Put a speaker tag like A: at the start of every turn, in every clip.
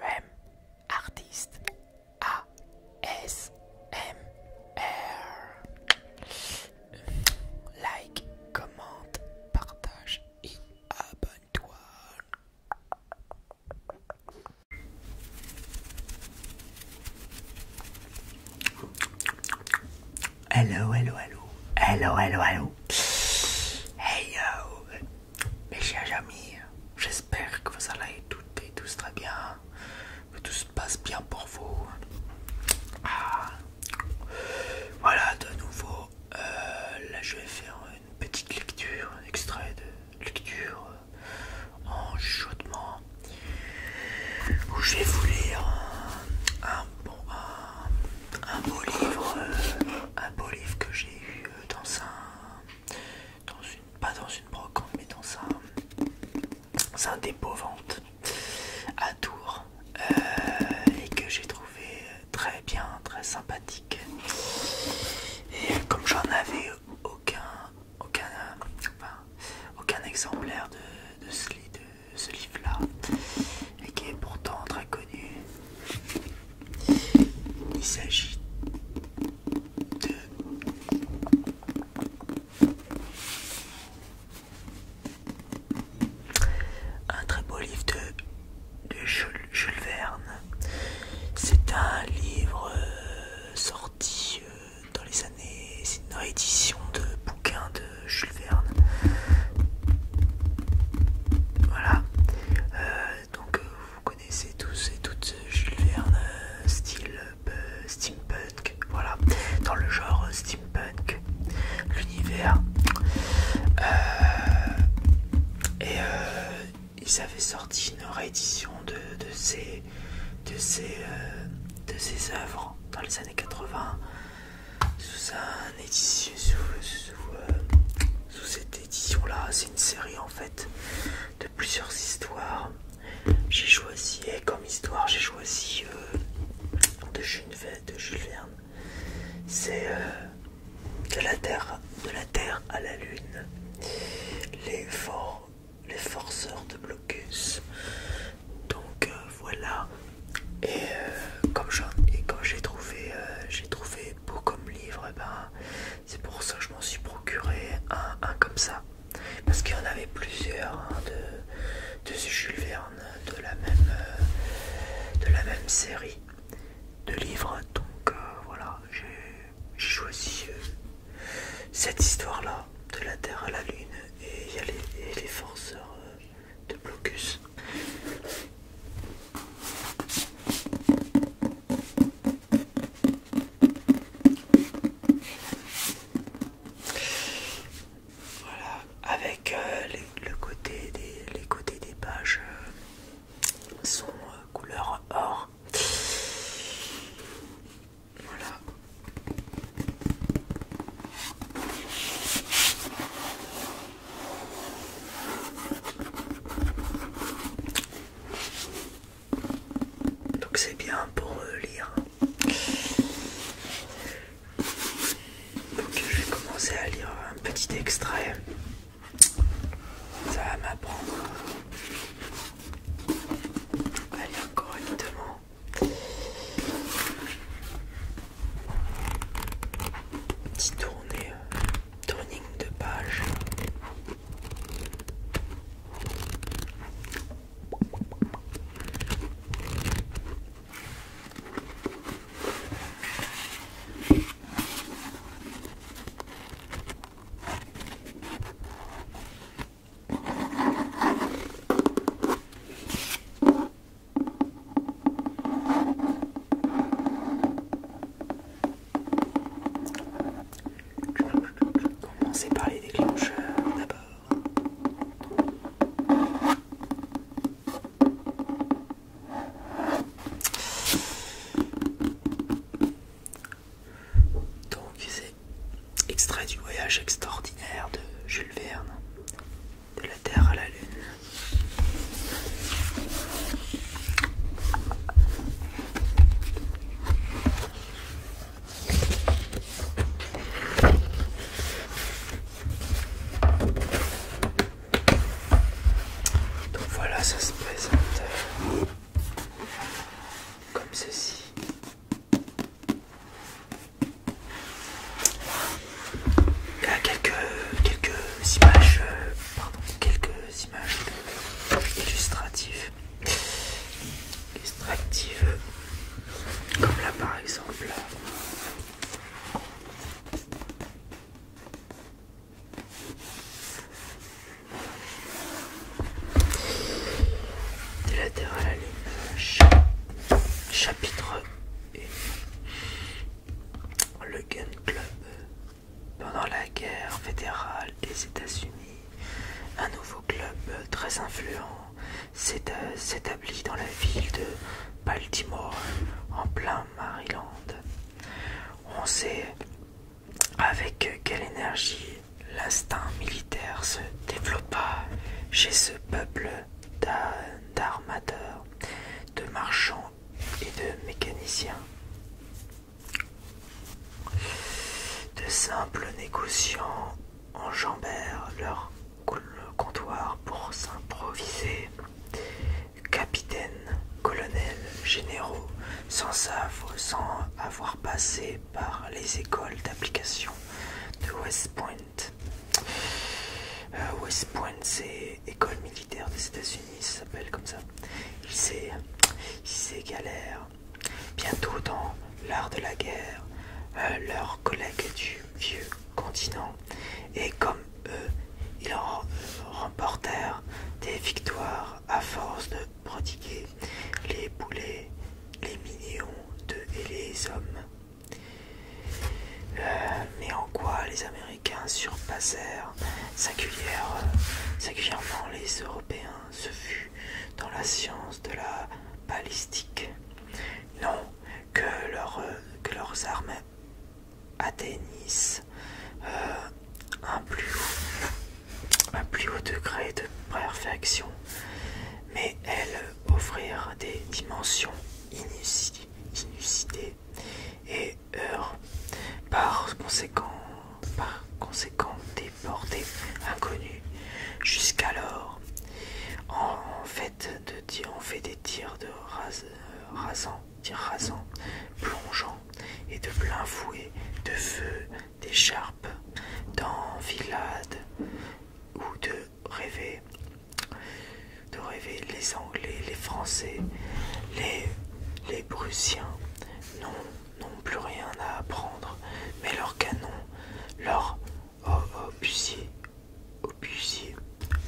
A: Rem artiste A S M R Like, commente, partage et abonne-toi. Hello, hello, hello. Hello, hello, hello. Hey yo. Mes chers amis, j'espère que vous allez toutes et tous très bien. Que tout se passe bien pour vous. Ah. Voilà, de nouveau. Euh, là, je vais faire une petite lecture, un extrait de lecture euh, en chaudement. Où je vais vous lire un, bon, un beau livre, euh, un beau livre que j'ai eu euh, dans un, dans une, pas dans une brocante, mais dans un, dans un dépôt vente à Tours euh, et que j'ai trouvé très bien, très sympathique. Et comme j'en avais aucun, aucun, enfin, aucun exemplaire de, de ce livre-là, et qui est pourtant très connu. Il s'agit de un très beau livre de, Jules, Verne. C'est un livre euh, sorti euh, dans les années. C'est une réédition de bouquins de Jules Verne. Voilà. Euh, donc euh, vous connaissez tous et toutes Jules Verne, euh, style steampunk. Voilà. Dans le genre steampunk, l'univers. et ils avaient sorti une réédition de, de ces de ces, de ces œuvres dans les années 80 sous, un édition, sous, euh, cette édition là c'est une série en fait de plusieurs histoires j'ai choisi et comme histoire j'ai choisi euh, de, Jules Verne, de c'est euh, de la terre de la terre à la lune les forceurs de blocus donc euh, voilà et euh, comme j'ai trouvé euh, j'ai trouvé beau comme livre eh ben c'est pour ça que je m'en suis procuré un, comme ça parce qu'il y en avait plusieurs hein, de, de Jules Verne de la même de la même série de livres donc voilà j'ai choisi cette histoire là de la terre à la lune et il y les, les forceurs de blocus. Voilà, avec euh, le côté des, les côtés des pages euh, sont euh, couleur or. Voilà. Donc c'est bien pour euh, lire. Donc je vais commencer à lire un petit extrait. Ça va m'apprendre à lire correctement. Petite turning euh, de page commencer par les déclencheurs d'abord. Donc c'est extrait du voyage extraordinaire de Jules Verne de la Terre à la Lune. Donc voilà, ça se présente euh, comme ceci quelques, quelques images, euh, pardon, quelques images illustratives, illustratives, comme là par exemple. Des latérales à euh, l'image, chapitre 1, le Gun Club. Pendant la guerre fédérale des États-Unis, un nouveau club très influent s'établit dans la ville de Baltimore, en plein Maryland. On sait avec quelle énergie l'instinct militaire se développa chez ce peuple d'armateurs de marchands et de mécaniciens, de simples négociants enjambèrent leur comptoir pour s'improviser capitaines, colonels, généraux, sans, sans avoir passé par les écoles d'application de West Point euh, West Point, c'est école militaire des États-Unis, ça s'appelle comme ça. Il s'égalèrent Bientôt dans l'art de la guerre, euh, leurs collègues du vieux continent. Et comme eux, ils remportèrent euh, des victoires à force de prodiguer les boulets, les millions de et les hommes. Euh, mais en quoi les Américains surpassèrent euh, singulièrement les Européens Ce fut dans la science de la balistique. Non, que, euh, leurs armes atteignissent un, plus un plus haut degré de perfection, mais elles offrirent des dimensions inusitées et par conséquent, par conséquent des portées Jusqu'alors, en, fait, de, on fait des tirs de rasant, plongeant, et de plein fouet, de feu, d'écharpe, d'enfilade ou de rêver de rêver les Anglais, les Français, les, les Prussiens n'ont plus rien à apprendre, mais leurs canons, leurs oh, obusiers, obusiers,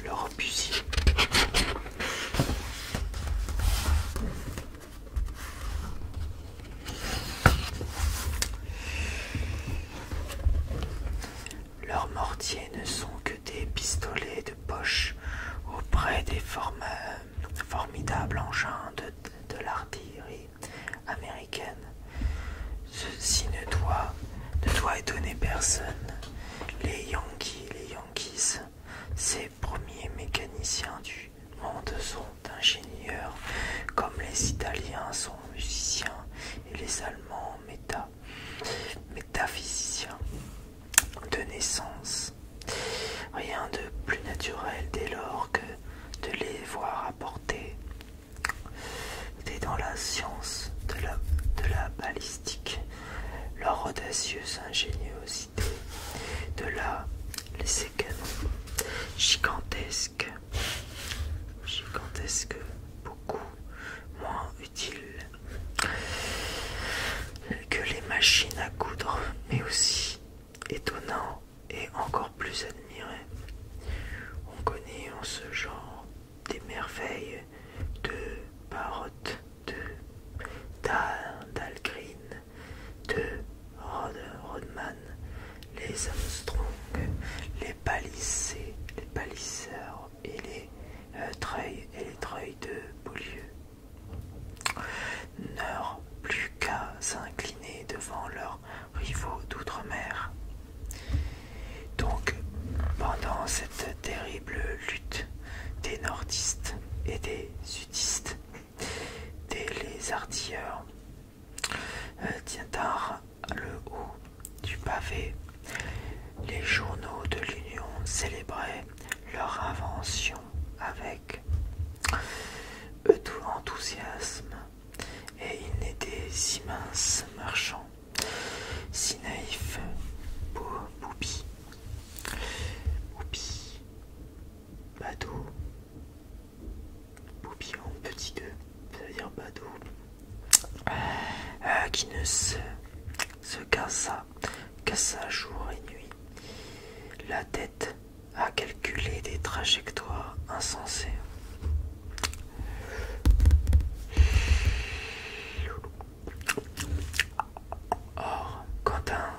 A: leurs obusiers. Leurs mortiers ne sont que des pistolets de poche auprès des formidables engins de, l'artillerie américaine. Ceci ne doit, ne doit étonner personne. Les Yankees, les Yankees, ces premiers mécaniciens du monde sont ingénieurs, comme les Italiens sont musiciens et les Allemands méta métaphysicien de naissance. Rien de plus naturel dès lors que de les voir apporter. Dès dans la science de la, balistique, leur audacieuse ingéniosité, de la les séquences gigantesques, gigantesques, beaucoup moins que les machines à coudre, mais aussi étonnant et encore plus admiré. On connaît en ce genre des merveilles de Barotte, de Dalgreen, de Rodman, les Armstrong, les palissés, les palisseurs, et les euh, treuils et les treuils de Beaulieu n'eurent plus qu'à s'incliner devant leurs rivaux d'outre-mer. Donc, pendant cette terrible lutte des nordistes et des sudistes, Des les artilleurs, euh, tient le haut du pavé, les journaux de l'Union célébraient leur invention avec tout enthousiasme et ils n'étaient si minces marchands, si naïfs, Boupi Boupi badou boubi en petit deux, c'est-à-dire badou euh, qui ne se se cassa, cassa jour et nuit. La tête a calculé des trajectoires insensées. Or, quand un,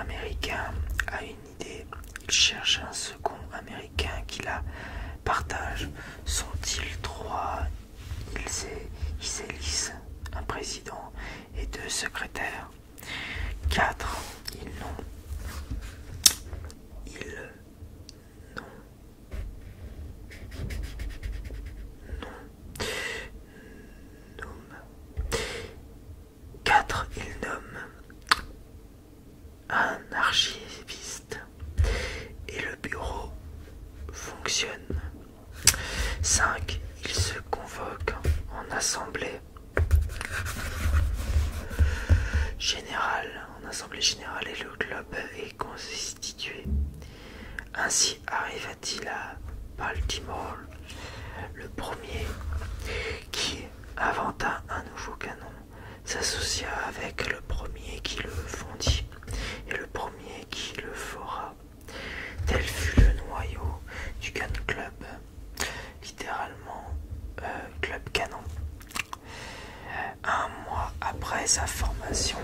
A: Américain a une idée, il cherche un second Américain qui la partage. Sont-ils trois il élisent un président et deux secrétaires. Quatre, Ils nomme Quatre Nomme. Quatre. Il nomme un archiviste et le bureau fonctionne 5. Il se convoque en assemblée générale. En assemblée générale et le club est constitué. Ainsi arriva-t-il à Baltimore, le premier qui inventa un nouveau canon, s'associa avec le premier qui le fondit et le premier qui le fera. Tel fut le noyau du Gun Club, littéralement euh, Club Canon. Euh, un mois après sa formation,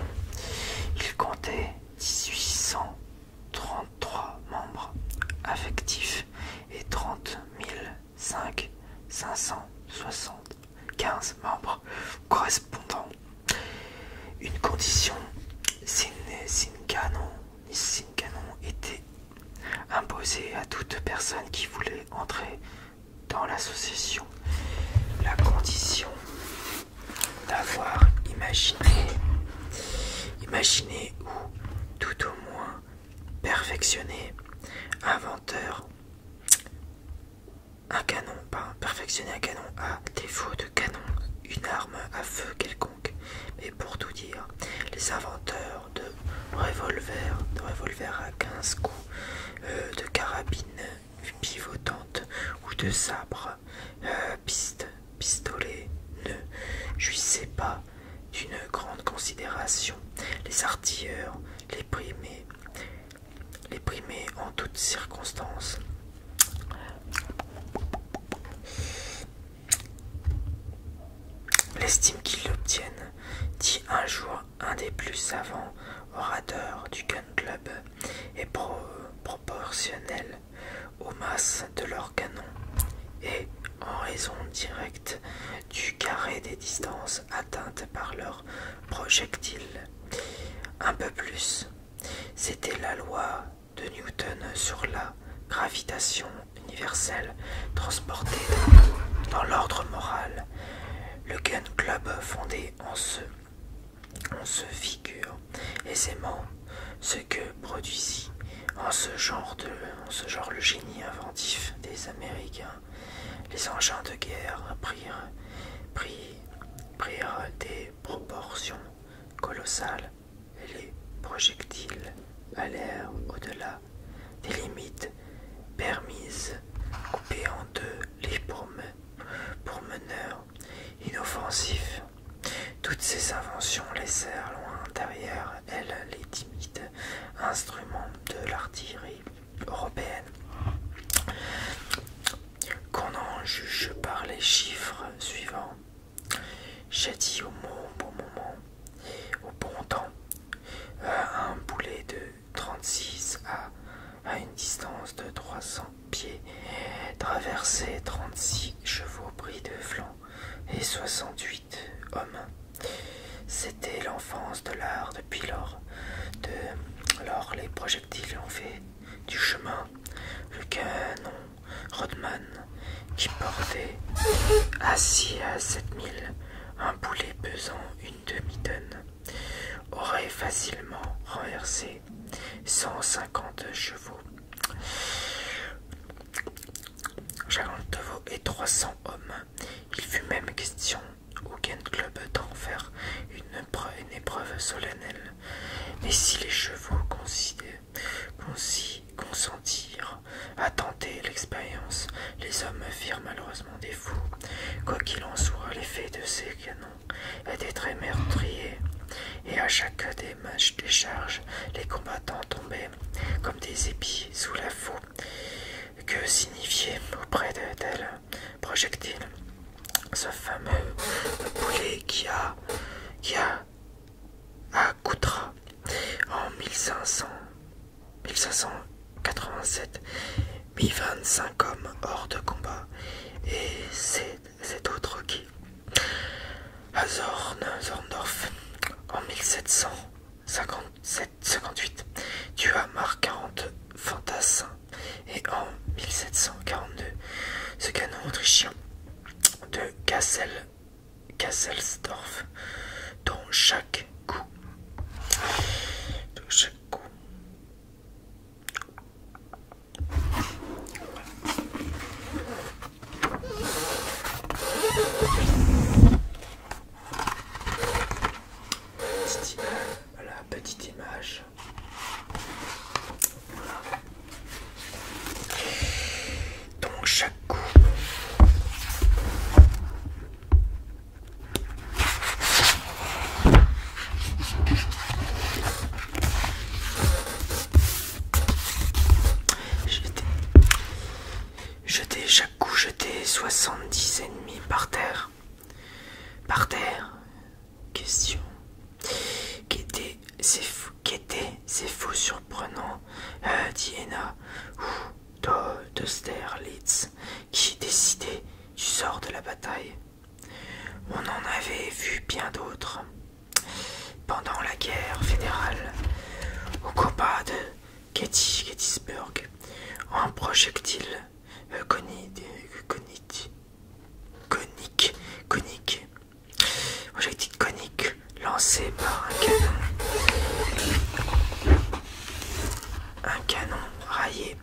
A: il comptait 1833 membres affectifs et 30 575 membres correspondants une condition, une Canon était imposée à toute personne qui voulait entrer dans l'association. La condition d'avoir imaginé, imaginé ou tout au moins perfectionné, inventeur un canon pas perfectionner un canon à ah, défaut de canon, une arme à feu quelconque. Mais pour tout dire, les inventeurs de revolvers, de revolvers à 15 coups, euh, de carabines pivotantes ou de sabres, euh, pistolets, piste, ne jouissaient pas d'une grande considération. Les artilleurs, les primés, les primés en toutes circonstances. L'estime qu'ils obtiennent dit un jour un des plus savants orateurs du Gun Club, est proportionnelle aux masses de leurs canons et en raison directe du carré des distances atteintes par leurs projectiles. Un peu plus, c'était la loi de Newton sur la gravitation universelle transportée dans, l'ordre moral. Le Gun Club fondé en ce on se figure aisément ce que produisit en ce genre de le génie inventif des Américains. Les engins de guerre prirent des proportions colossales et les projectiles allèrent au-delà des limites permises, coupés en deux les pourmeneurs inoffensifs. Toutes ces inventions laissèrent loin derrière elles les timides instruments de l'artillerie européenne qu'on en juge par les chiffres suivants. J'ai dit au bon moment, au bon temps, un boulet de 36 à, à une distance de 300 pieds, traversé 36 chevaux bris de flanc et 68 hommes. C'était l'enfance de l'art depuis lors. De lors, les projectiles ont fait du chemin le canon Rodman qui portait assis à sept 7000 un boulet pesant une demi-tonne aurait facilement renversé 150 chevaux, chevaux et 300 hommes. Il fut même question au Gun Club d'en faire une épreuve solennelle. Mais si les chevaux consentirent à tenter l'expérience, les hommes firent malheureusement des fous. Quoi qu'il en soit, l'effet de ces canons était très meurtrier, et à chaque charges, les combattants tombaient comme des épis sous la foule. Que signifiait auprès de tels projectiles ce fameux poulet qui a, qui a à Koutra en 1587 mis 25 hommes hors de combat et c'est autre qui à Zorn, Zorndorf en 1757 58 tua Marc 40 fantassins et en 1742 ce canon autrichien de Kassel, Kasselsdorf, Dans chaque coup, Dans chaque coup voilà, petite image donc chaque coup. j'étais, Jeter chaque coup, jeter 70 ennemis par terre. Par terre. Question. Qui était c'est fou, qu'était c'est fou, surprenant, euh, Diana, ou d'Austerlitz qui décidait du sort de la bataille. On en avait vu bien d'autres. Pendant la guerre fédérale, au combat de Gettysburg, un projectile euh, euh, Projectile conique lancé par un canon. Un canon raillé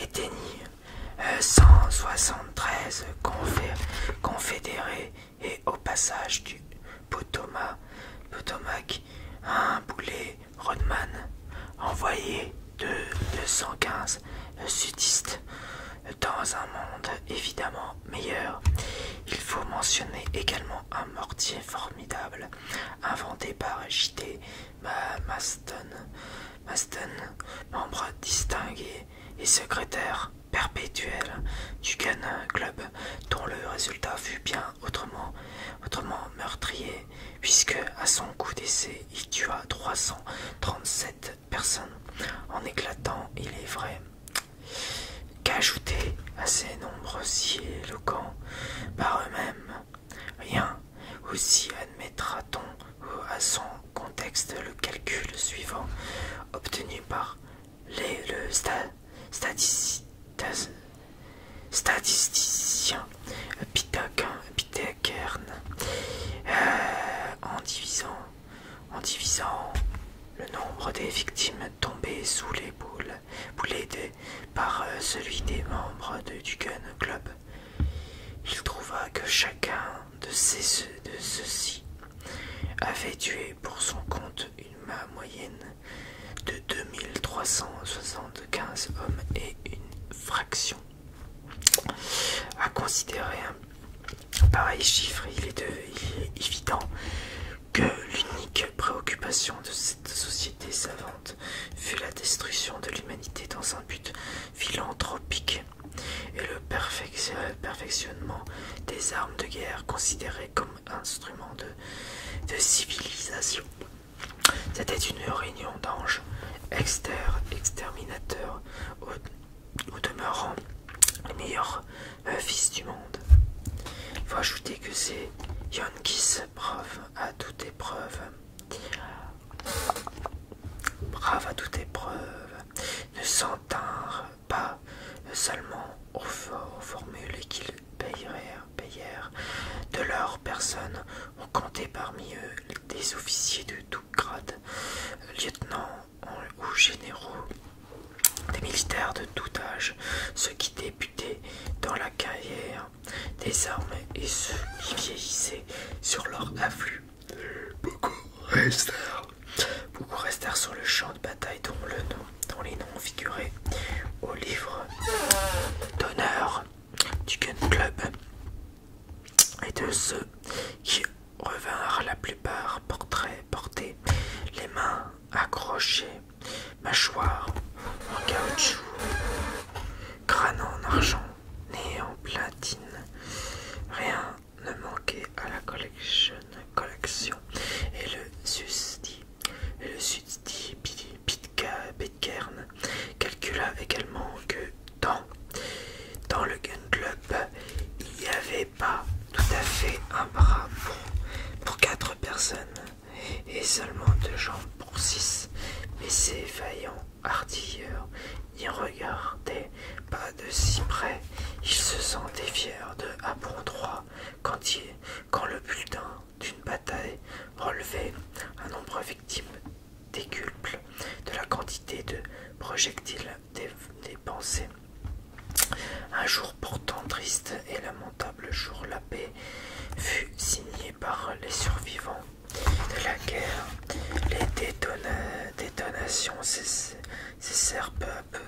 A: éteignit euh, 173 confédérés et au passage du Potomac, Potomac un boulet Rodman envoyé de 215 sudistes dans un monde évidemment meilleur. Il faut mentionner également un mortier formidable inventé par J.T. Maston, Maston, membre distingué et secrétaire perpétuel du Gun Club, dont le résultat fut bien autrement, autrement meurtrier, puisque à son coup d'essai il tua 337 personne en éclatant, il est vrai, qu'ajouter à ces nombres si éloquents par eux-mêmes, rien aussi admettra-t-on à son contexte le calcul suivant obtenu par les, le statisticien euh, en divisant en divisant le nombre des victimes tombées sous les boules, par euh, celui des membres du Gun Club. Il trouva que chacun de, ces, de ceux-ci avait tué pour son compte une main moyenne de 2375 hommes et une fraction à considérer un Pareil chiffre, il est, évident que l'unique préoccupation de cette société savante fut la destruction de l'humanité dans un but philanthropique et le euh, perfectionnement des armes de guerre considérées comme instruments de, civilisation. C'était une réunion d'anges exterminateurs au demeurant les meilleur euh, fils du monde. Il faut ajouter que ces Yonkis braves à toute épreuve, brave à toute épreuve, ne s'entinrent pas seulement aux, formules qu'ils payèrent, payèrent de leur personne, on comptait parmi eux des officiers de tout grades, lieutenants ou généraux, des militaires de tout âge, ceux qui débutaient dans la carrière des armes et ceux qui vieillissaient sur leur afflux. Beaucoup restèrent. Beaucoup restèrent sur le champ de bataille dont, le nom, dont les noms figuraient au livre d'honneur du Gun Club et de ceux qui revinrent la plupart portraits portés, les mains accrochées, mâchoires en caoutchouc, crâne en argent, nez en platine. Rien ne manquait à la collection, collection. et le Sus et le pitka Pitcairn calcula également que dans, dans le gun club il y avait pas tout à fait un bras pour, quatre personnes et seulement deux jambes pour six, mais ces vaillants artilleurs n'y regardaient pas de si près. Ils se sentaient fiers de avoir bon droit quand, quand le bulletin d'une bataille relevait un nombre victime décuple de la quantité de projectiles des pensées Un jour pourtant triste et lamentable jour, la paix fut signée par les survivants de la guerre. Les détonations cessèrent peu à peu,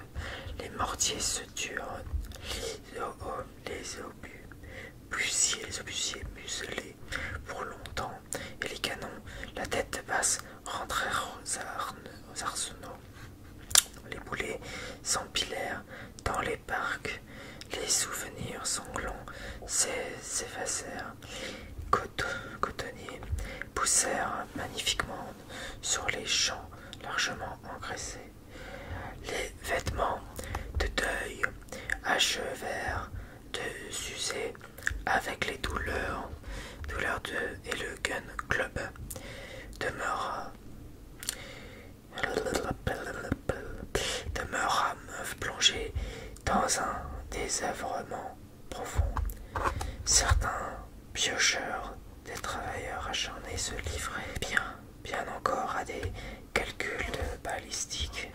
A: les mortiers se tuent les, obus les obusiers muselés pour longtemps, et les canons, la tête basse, rentrèrent aux arnes arsenaux. Les boulets s'empilèrent dans les parcs, les souvenirs sanglants s'effacèrent. Cotonniers poussèrent magnifiquement sur les champs largement engraissés. Les vêtements de deuil achevèrent de s'user avec les douleurs, douleurs de et le Gun Club demeura, demeura plongée dans un désœuvrement profond. Certains piocheurs, des travailleurs acharnés se livraient bien, bien encore à des calculs de balistique.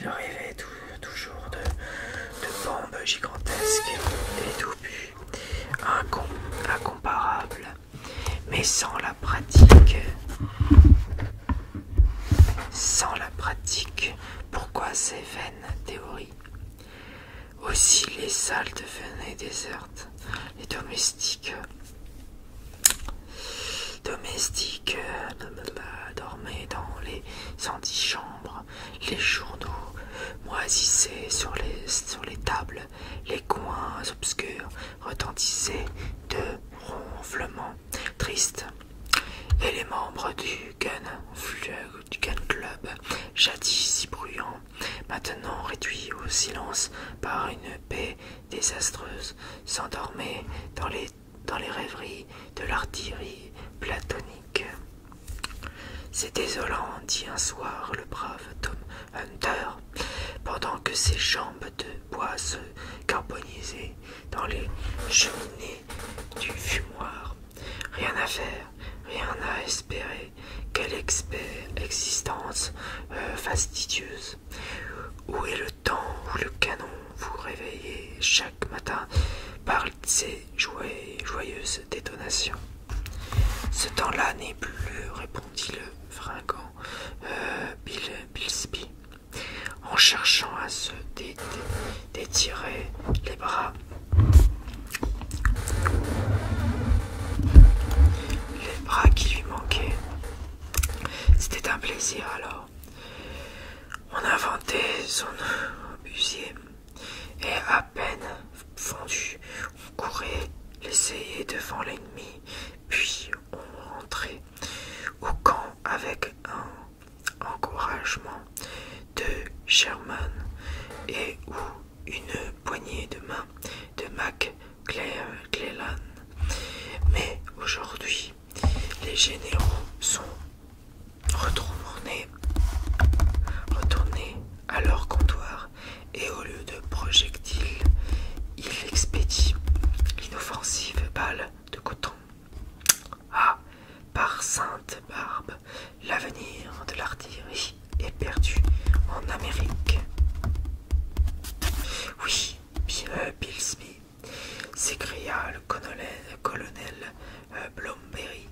A: Ils rêvaient toujours de, de bombes gigantesques et d'obus incomparable, mais sans la pratique, sans la pratique, pourquoi ces vaines théories Aussi les salles devenaient désertes, les domestiques domestiques euh, dormaient dans les antichambres les journaux moisissaient sur les, tables, les coins obscurs retentissaient de ronflements tristes. Et les membres du Gun, du Club, jadis si bruyants, maintenant réduits au silence par une paix désastreuse, s'endormaient dans les rêveries de l'artillerie platonique. C'est désolant, dit un soir le brave Tom Hunter, pendant que ses jambes de bois se carbonisaient dans les cheminées du fumoir. Rien à faire, rien à espérer. Quelle existence euh, fastidieuse. Où est le temps où le canon vous réveillez chaque matin par ses joyeuses détonations ce temps-là n'est plus, répondit le fringant euh, Bill, en cherchant à se détirer les bras. Les bras qui lui manquaient. C'était un plaisir alors. On inventait son busier et à peine fondu, on courait l'essayer devant l'ennemi, puis on rentrait au camp avec un encouragement de Sherman et ou une poignée de main de Mac Clellan Mais aujourd'hui, les généraux sont retournés, retournés à leur comptoir et au lieu de projectiles, il expédie l'inoffensive balle de coton. Ah, par sainte barbe, l'avenir de l'artillerie est perdu en Amérique. Oui, bien euh, Bilsby, s'écria le colonel euh, Blomberry.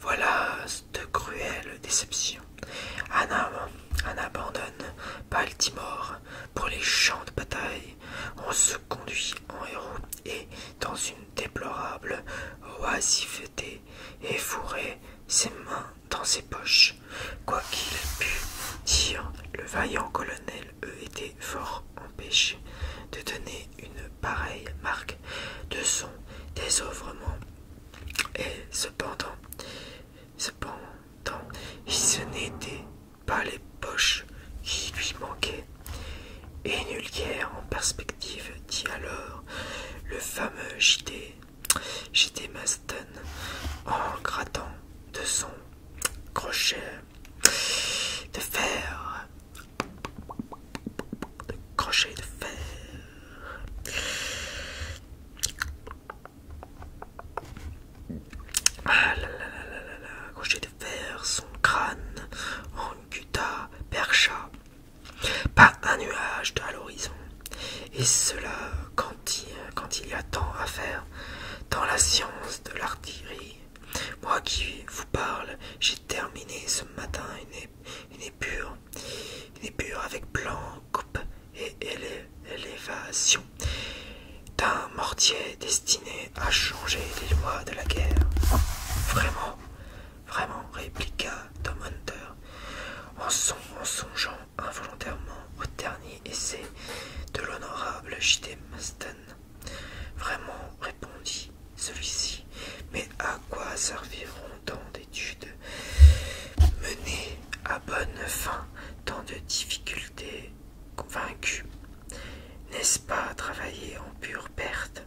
A: Voilà de cruelle déception. Anna, Anna abandonne Baltimore pour les champs de bataille. On se conduit en héros et, dans une déplorable oisiveté, et fourrait ses mains dans ses poches. Quoi qu'il dire, le vaillant colonel eût été fort empêché de donner une pareille marque de son désœuvrement et cependant, cependant, ce n'étaient pas les poches qui lui manquaient. Et nulle guerre en perspective, dit alors le fameux JD, Maston, en grattant de son crochet de fer de crochet de fer. Ah là là là là là, crochet de fer, son crâne, gutta percha, pas un nuage à l'horizon. Et cela quand il, quand il y a tant à faire dans la science de l'artillerie. Moi qui vous parle, j'ai terminé ce matin une une épure, avec blanc, coupe et élévation d'un mortier destiné à changer les lois de la guerre. Vraiment, vraiment, répliqua Tom Hunter en, songeant involontairement au dernier essai de l'honorable J.D. Maston. Vraiment, répondit celui-ci, mais à quoi serviront d'études menées à bonne fin tant de difficultés vaincues. N'est-ce pas travailler en pure perte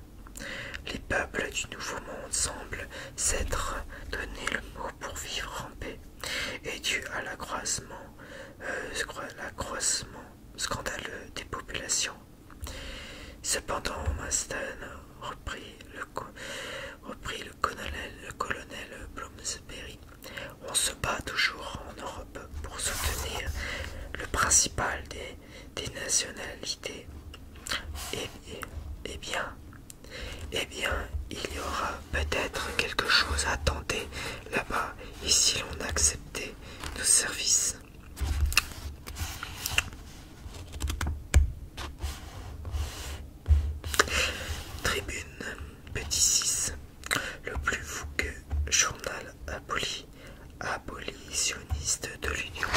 A: Les peuples du Nouveau Monde semblent s'être donné le mot pour vivre en paix, et dû à l'accroissement euh, scandaleux des populations. Cependant, Maston repris le, colonel, le colonel Bloomsbury. On se bat toujours en Europe pour soutenir le principal des, nationalités. et, eh et eh bien, eh bien, il y aura peut-être quelque chose à tenter là-bas, et si l'on acceptait nos services. Tribune, petit 6. Le plus que journal aboli, abolitionniste de l'Union.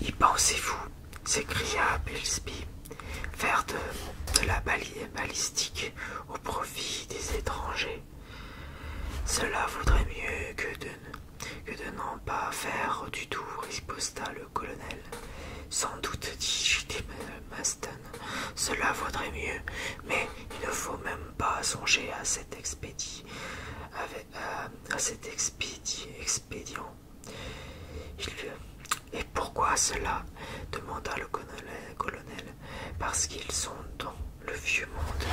A: Y pensez-vous s'écria Pillsby faire de, de la balière balistique au profit des étrangers. Cela vaudrait mieux que de, que n'en pas faire du tout, riposta le colonel. Sans doute, dit Maston, cela vaudrait mieux, mais il ne faut même pas songer à cet expédient. À, cet expédient. expédient. et pourquoi cela demanda le colonel parce qu'ils sont dans le vieux monde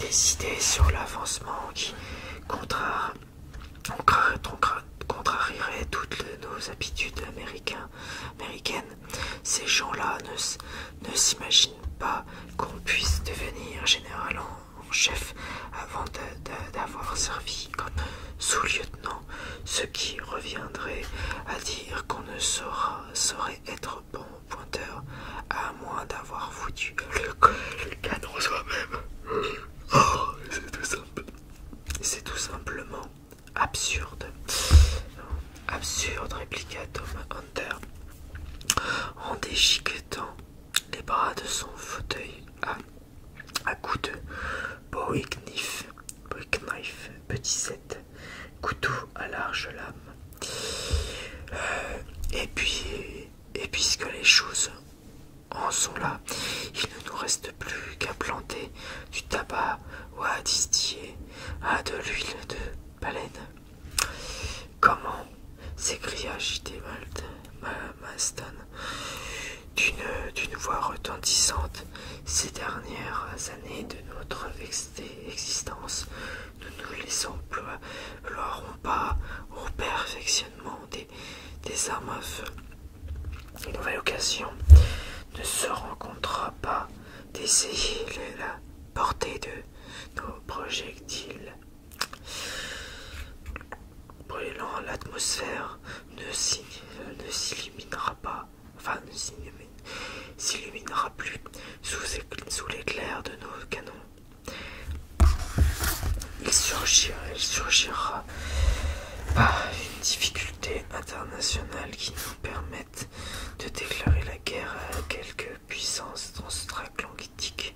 A: Décidés sur l'avancement qui contrarierait toutes nos habitudes américaines. Ces gens-là ne, s'imaginent pas qu'on puisse devenir général en chef avant d'avoir servi comme sous-lieutenant, ce qui reviendrait à dire qu'on ne saura saurait être bon pointeur, à moins d'avoir foutu le canon soi-même. Oh, c'est tout simple. C'est tout simplement absurde. Absurde, répliqua Tom Hunter en déchiquetant les bras de son fauteuil à, à coups de petit set, couteau à large lame. Euh, et puis, et puisque les choses en sont là, il ne nous reste plus qu'à planter du tabac ou à distiller à de l'huile de baleine. Comment s'écria J.T. Maston d'une voix retentissante ces dernières années de notre vexité existence. Nous ne les emploierons pas au perfectionnement des, armes à feu. Une nouvelle occasion ne se rencontrera pas d'essayer la portée de nos projectiles. Brûlant l'atmosphère ne s'éliminera pas enfin ne s'illuminera plus sous l'éclair de nos canons. Il surgira, il par une difficulté internationale qui nous permette de déclarer la guerre à quelque puissance transatlantique.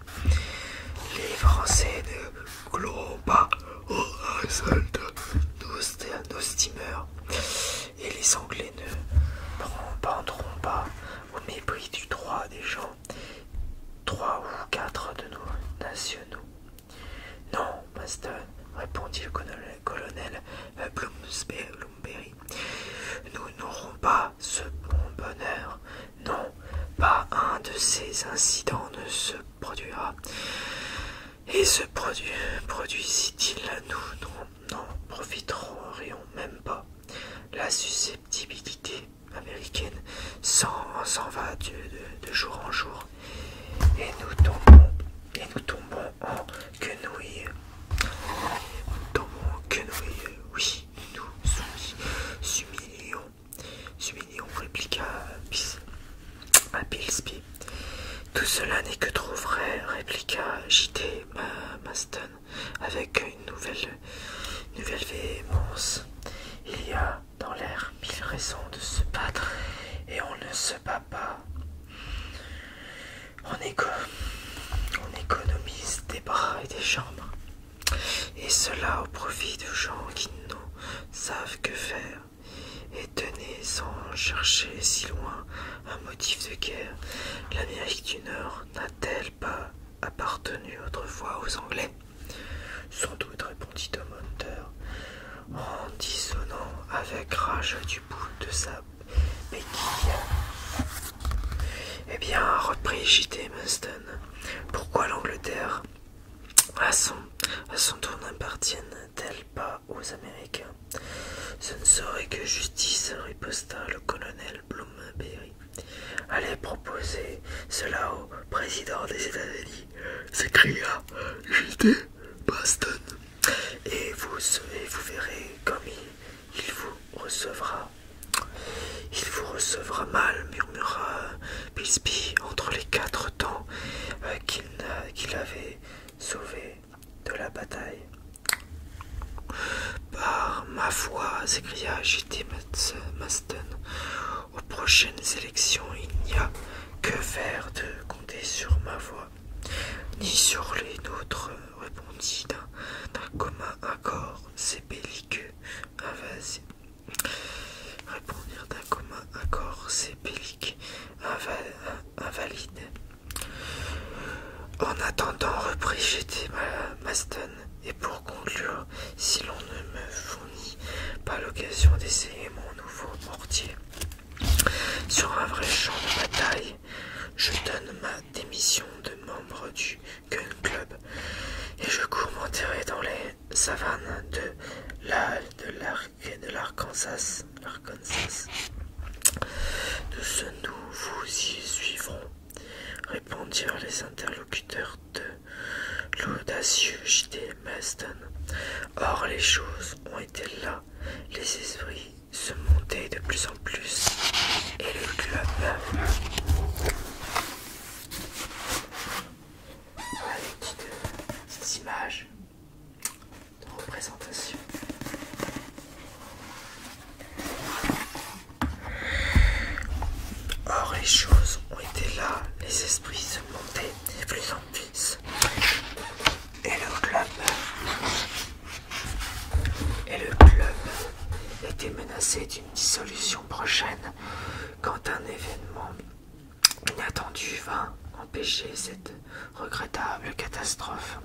A: Les Français ne clouent pas au résultat de nos steamers et les Anglais ne prendront pas au mépris du droit des gens, trois ou quatre de nos nationaux. Non, Maston, répondit le colonel, euh, Bloomsbury, nous n'aurons pas ce bon bonheur. Non, pas un de ces incidents ne se produira. Et se produit il nous n'en profiterions même pas. La susceptibilité américaine s'en va de, jour en jour et nous tombons, et nous tombons en quenouille. Nous tombons en y oui, nous s'humilions, répliqua à Tout cela n'est que trop vrai, répliqua J.T. Maston avec une nouvelle, nouvelle véhémence. Il y a dans l'air mille raisons de se battre et on ne se bat pas. On, économise des bras et des jambes. Et cela au profit de gens qui ne savent que faire. Et tenez sans chercher si loin un motif de guerre. L'Amérique du Nord n'a-t-elle pas appartenu autrefois aux Anglais Sans doute, répondit Tom Hunter, en dissonnant avec rage du bout de sa béquille. Eh bien, reprit J.T. Muston, pourquoi l'Angleterre à son, à son tour n'appartient-elle pas aux Américains. Ce ne serait que justice, riposta le colonel Bloomberry. Allez proposer cela au président des États-Unis, s'écria D. Boston. Et vous, verrez comme il, vous recevra. Il vous recevra mal, murmura Pillsby entre les quatre temps euh, qu'il avait sauvé de la bataille. Par ma voix s'écria J.T. Maston, aux prochaines élections, il n'y a que faire de compter sur ma voix, ni sur les nôtres, répondit d'un commun accord C'est bellique invasifs. d'un commun accord C'est bellique Invalide en attendant, reprit G.T. Euh, Maston, et pour conclure, si l'on ne me fournit pas l'occasion d'essayer mon nouveau portier sur un vrai champ de bataille, je donne ma démission de membre du Gun Club et je cours m'enterrer dans les savanes de l'Arkansas. De Nous, nous vous y suivrons, répondirent les interlocuteurs de l'audacieux J.D. Maston. Or, les choses ont été là, les esprits se montaient de plus en plus, et le club Voilà les petites images de représentation. Or les choses ont été là, les esprits se montaient de plus en plus. Et le club et le club était menacé d'une dissolution prochaine quand un événement inattendu vint empêcher cette regrettable catastrophe.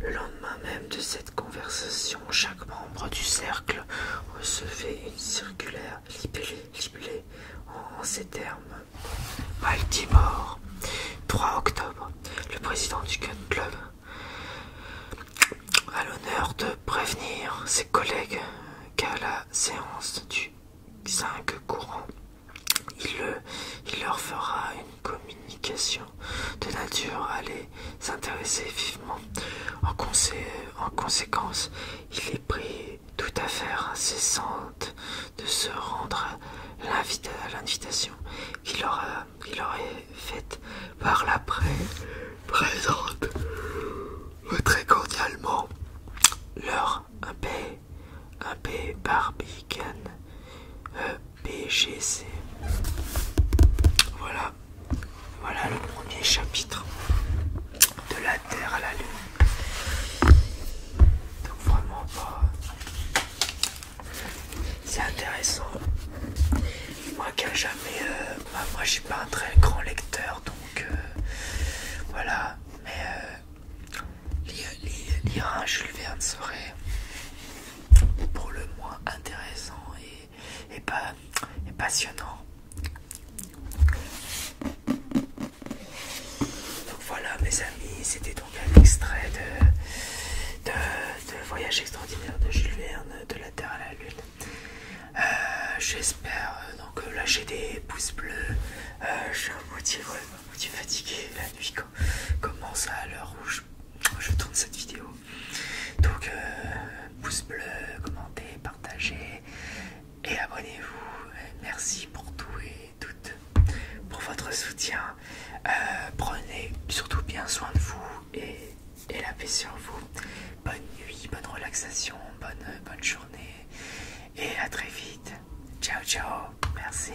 A: Le lendemain même de cette conversation, chaque membre du cercle recevait une circulaire libellée, en, ces termes. Baltimore, 3 octobre, le président du Club a l'honneur de prévenir ses collègues qu'à la séance du 5 courant, il, leur fera Une communication de nature à les s'intéresser vivement. En, conséquence, il est pris tout à fait incessante de se rendre à l'invitation qu'il aura, il aurait faite par la présente très cordialement leur un Barbicane barbican euh, BGC. Voilà, voilà le premier chapitre de la Terre à la Lune. Donc vraiment pas. C'est intéressant. Moi qui jamais. Euh, bah, moi je suis pas un très grand lecteur donc euh, voilà. Mais euh, lire, lire un Jules Verne serait pour le moins intéressant et, pas, passionnant. Donc voilà mes amis, c'était donc un extrait de, de, Voyage extraordinaire de Jules Verne, de la Terre à la Lune. Euh, j'espère, euh, donc euh, lâcher des pouces bleus, je suis fatigué, la nuit commence à l'heure rouge je, tourne cette vidéo. Donc, euh, pouce bleu, commentez, partagez et abonnez-vous. Merci pour tout et toutes, pour votre soutien. Euh, prenez surtout bien soin de vous et, et la paix sur vous. Bonne nuit, bonne relaxation, bonne, bonne journée et à très vite. Ciao, ciao, merci.